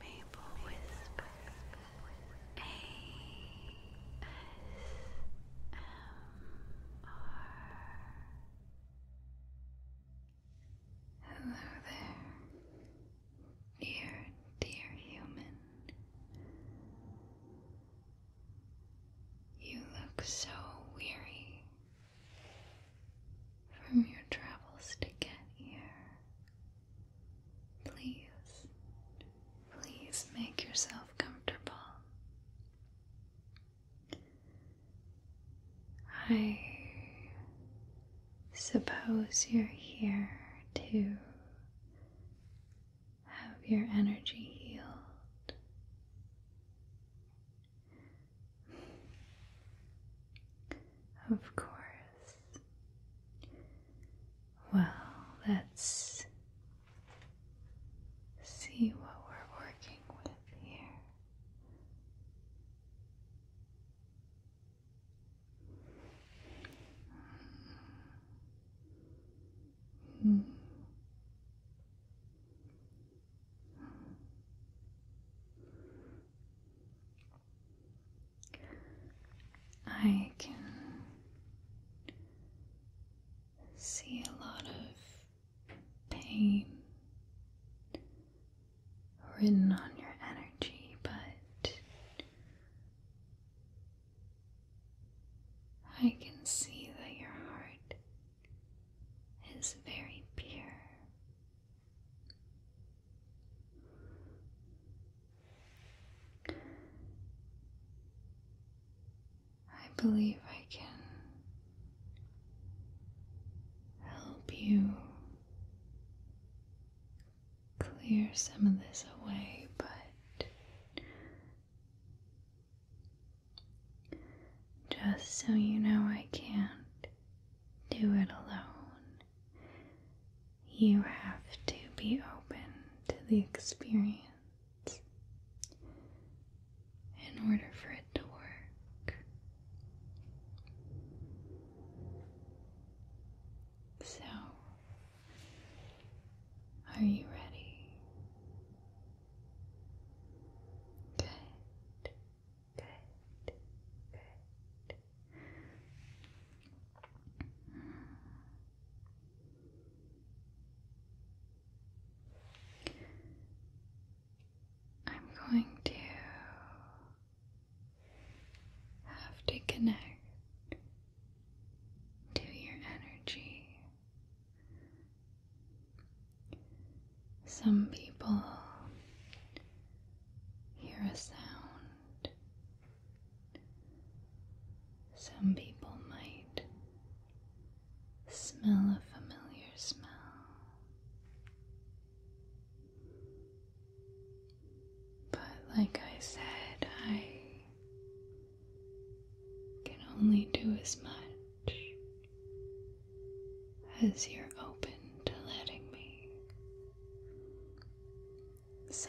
Maple Whisper A S M R Hello there, dear, dear human. You look so weary from your travels to get here. Please, please make yourself comfortable. I suppose you're here to have your energy healed. Of course, well, let's see what we're working with here. I can see a lot of pain written on your energy, but I can see that your heart is very pure I believe I can help you clear some of this away, but just so you know, I can't do it alone. You have to be open to the experience in order for it to work. So, are you ready? Good. Good. Good. I'm going to have to connect to your energy. Some people hear a sound. Some people might smell a familiar smell. But, like I said, I can only do as much as you're open to letting me. So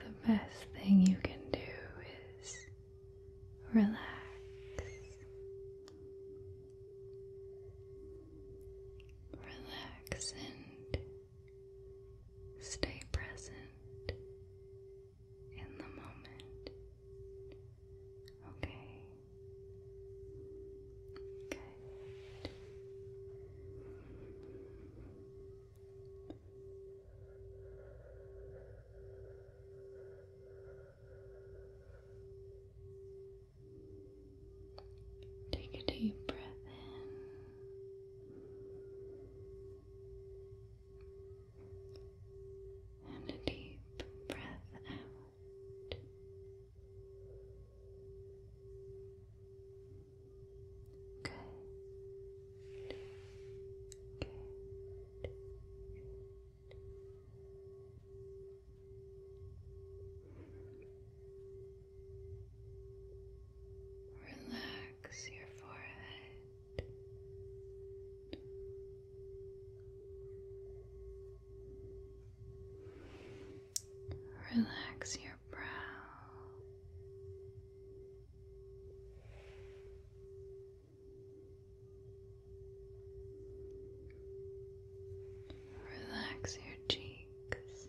the best thing you can do is relax. Relax and stay present in the moment. Okay. Good. Take a deep breath in and a deep breath out. Good. Good. Good. Relax your forehead Relax your brow. Relax your cheeks.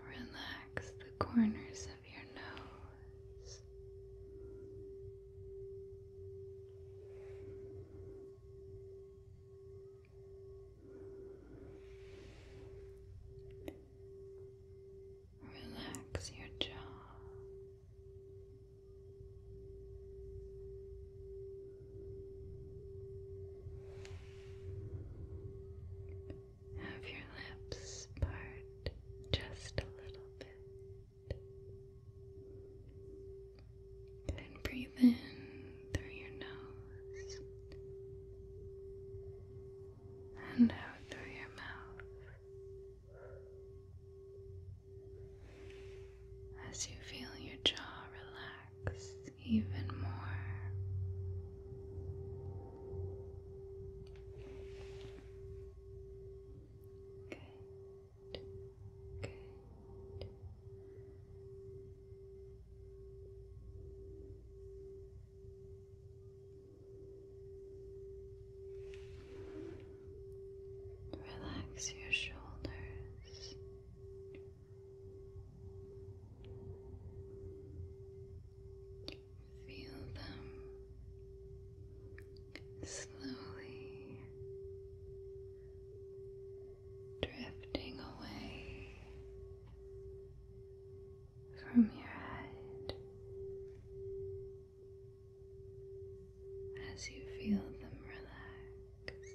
Relax the corners of your nose. Relax your jaw. Have your lips part just a little bit. Then breathe in through your nose and out through your mouth. As you feel your jaw relax even more. Good. Good. Relax your shoulders, Feel them slowly drifting away from your head as you feel them relax.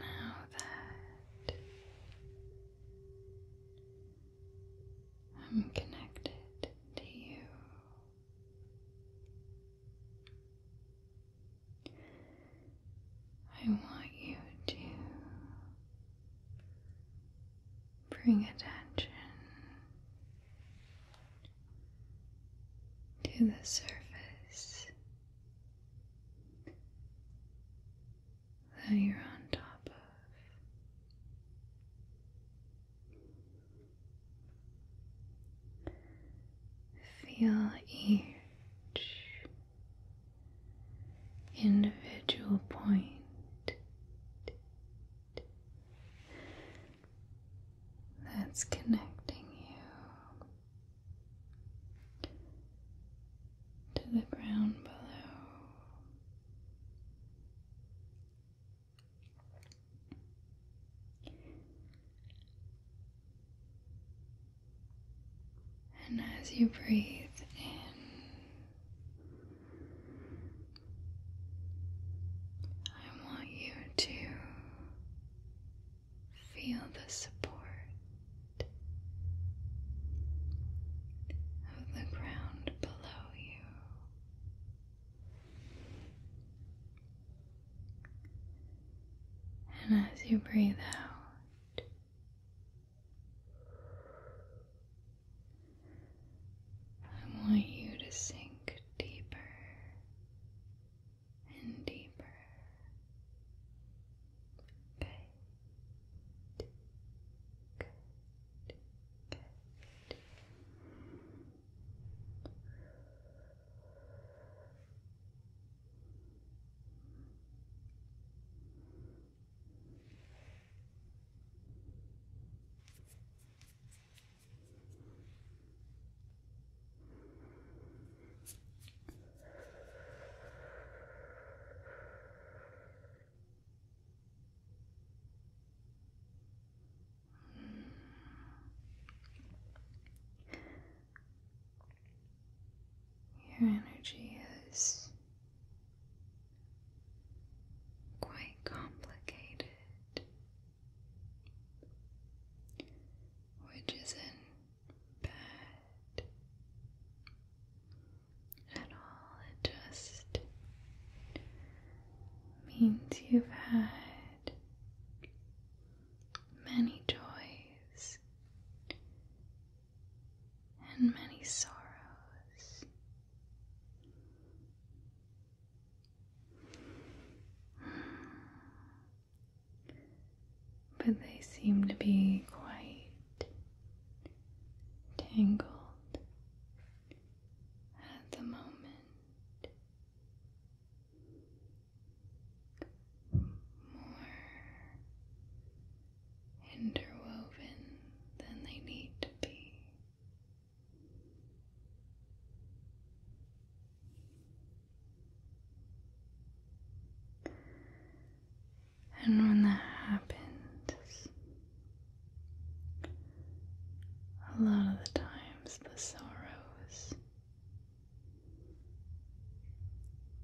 Now that I'm connected to you, I want you to bring attention to the surface that you're on top of. Feel each individual point that's connecting you to the ground below. And as you breathe in, I want you to Feel the support of the ground below you. And as you breathe out, I want you to sink deeper and deeper. Good. Good. Good. Your energy is quite complicated, which isn't bad at all. It just means you've had many joys and many sorrows but they seem to be quite tangled at the moment. More interwoven than they need to be. And when that happens, a lot of the times the sorrows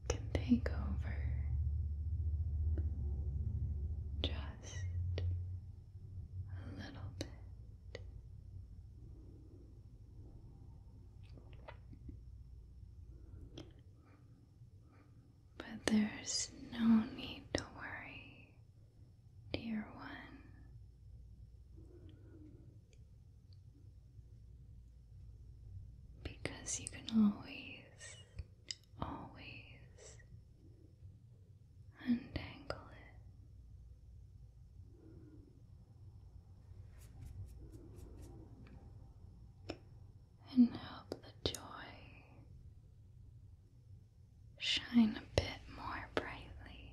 can take over just a little bit. But there's no need to worry, dear one. Because you can always, always untangle it and help the joy shine a bit more brightly.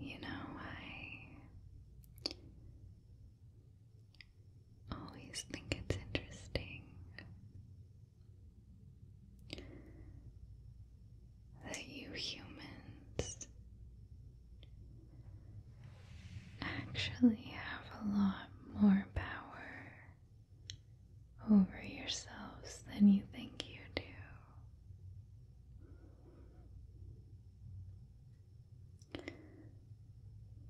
You know, I always think it's interesting that you humans actually have a lot more power over yourselves than you think you do.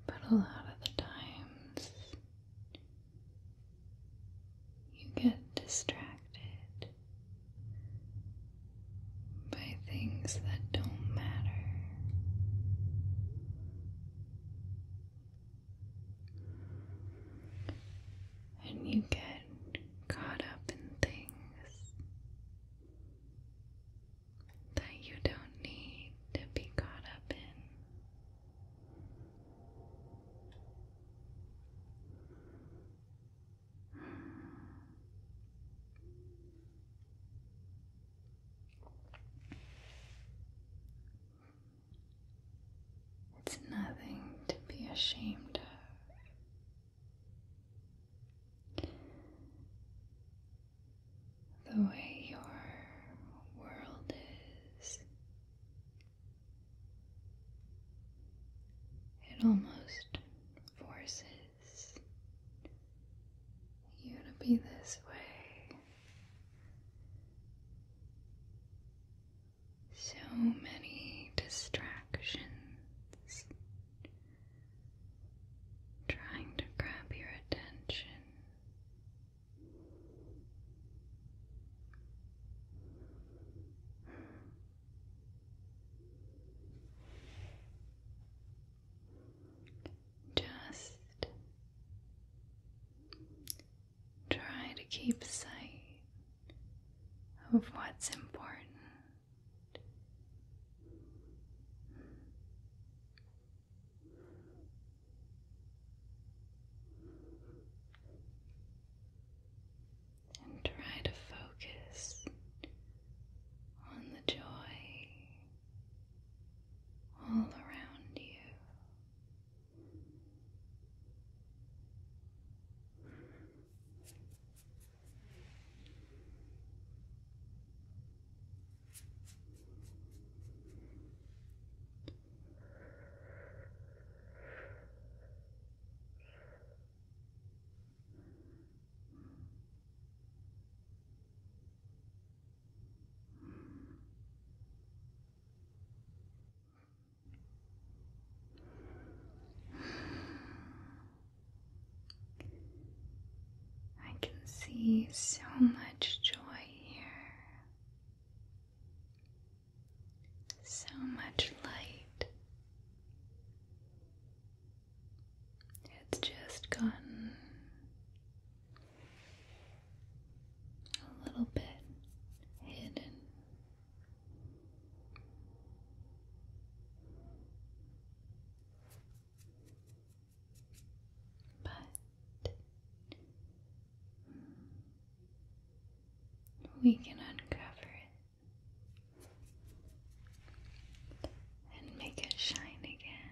But a lot of the times you get distracted by things that don't matter and you get caught up in things that you don't need to be caught up in. It's nothing to be ashamed of. The way your world is, it almost forces you to be this way. So many distractions trying to grab your attention. Just Try to keep sight of what's important. And try to focus on the joy all around you. I can see so much joy here, so much light. It's just gone a little bit hidden. But hmm, we can uncover it and make it shine again.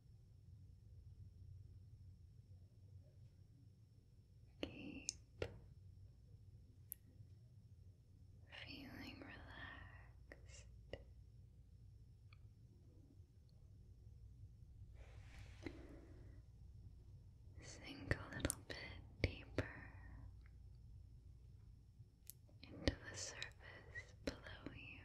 Keep feeling relaxed. Sink a little bit deeper into the surface below you.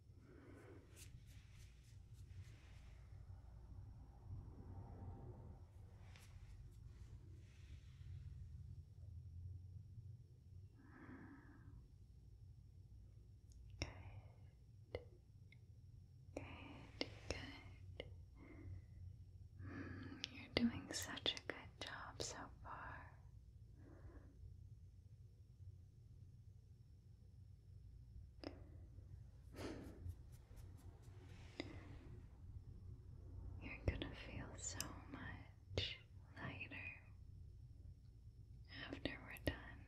Good, good. you're doing such a good job so far. You're gonna feel so much lighter after we're done.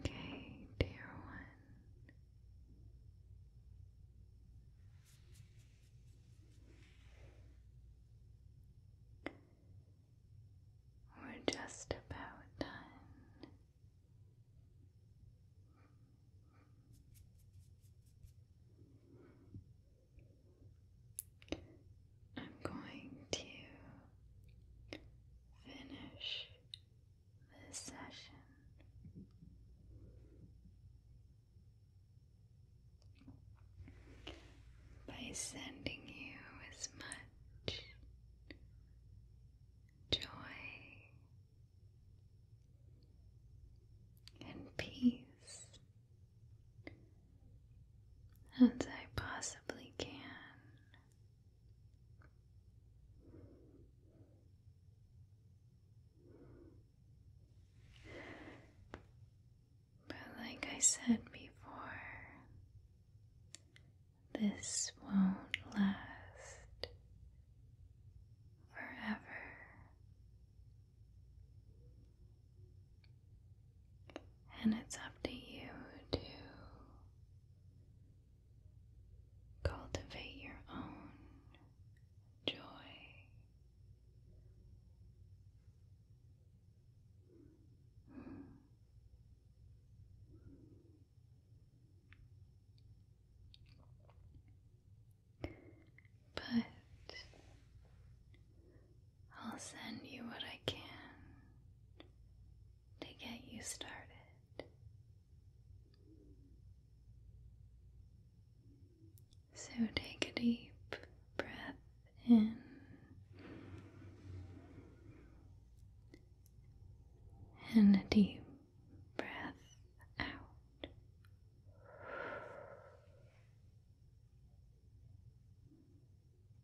Okay, dear one. We're just about done. I'm going to finish this session. By sending you as much joy and peace as I possibly can. But, like I said before, this won't last forever. And it's up to you to Cultivate your own joy. But I'll send you what I can to get you started. So take a deep breath in and a deep breath out.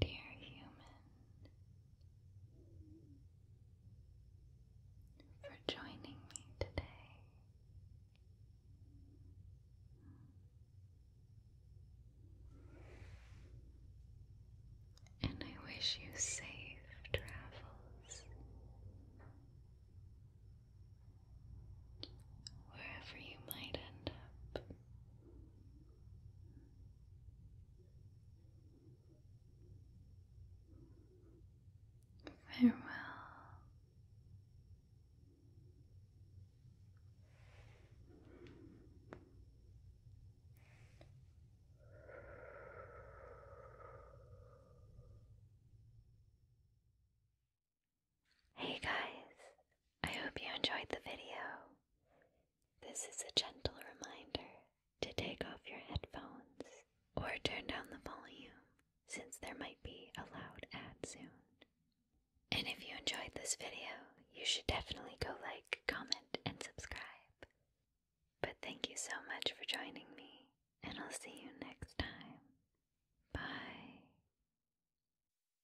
dear human, for joining me today. And I wish you safe travels wherever you might end up Farewell. Hey guys, I hope you enjoyed the video. This is a gentle reminder to take off your headphones or turn down the volume since there might be a loud ad soon. And if you enjoyed this video, you should definitely go like, comment, and subscribe. But thank you so much for joining me, and I'll see you next time. Bye.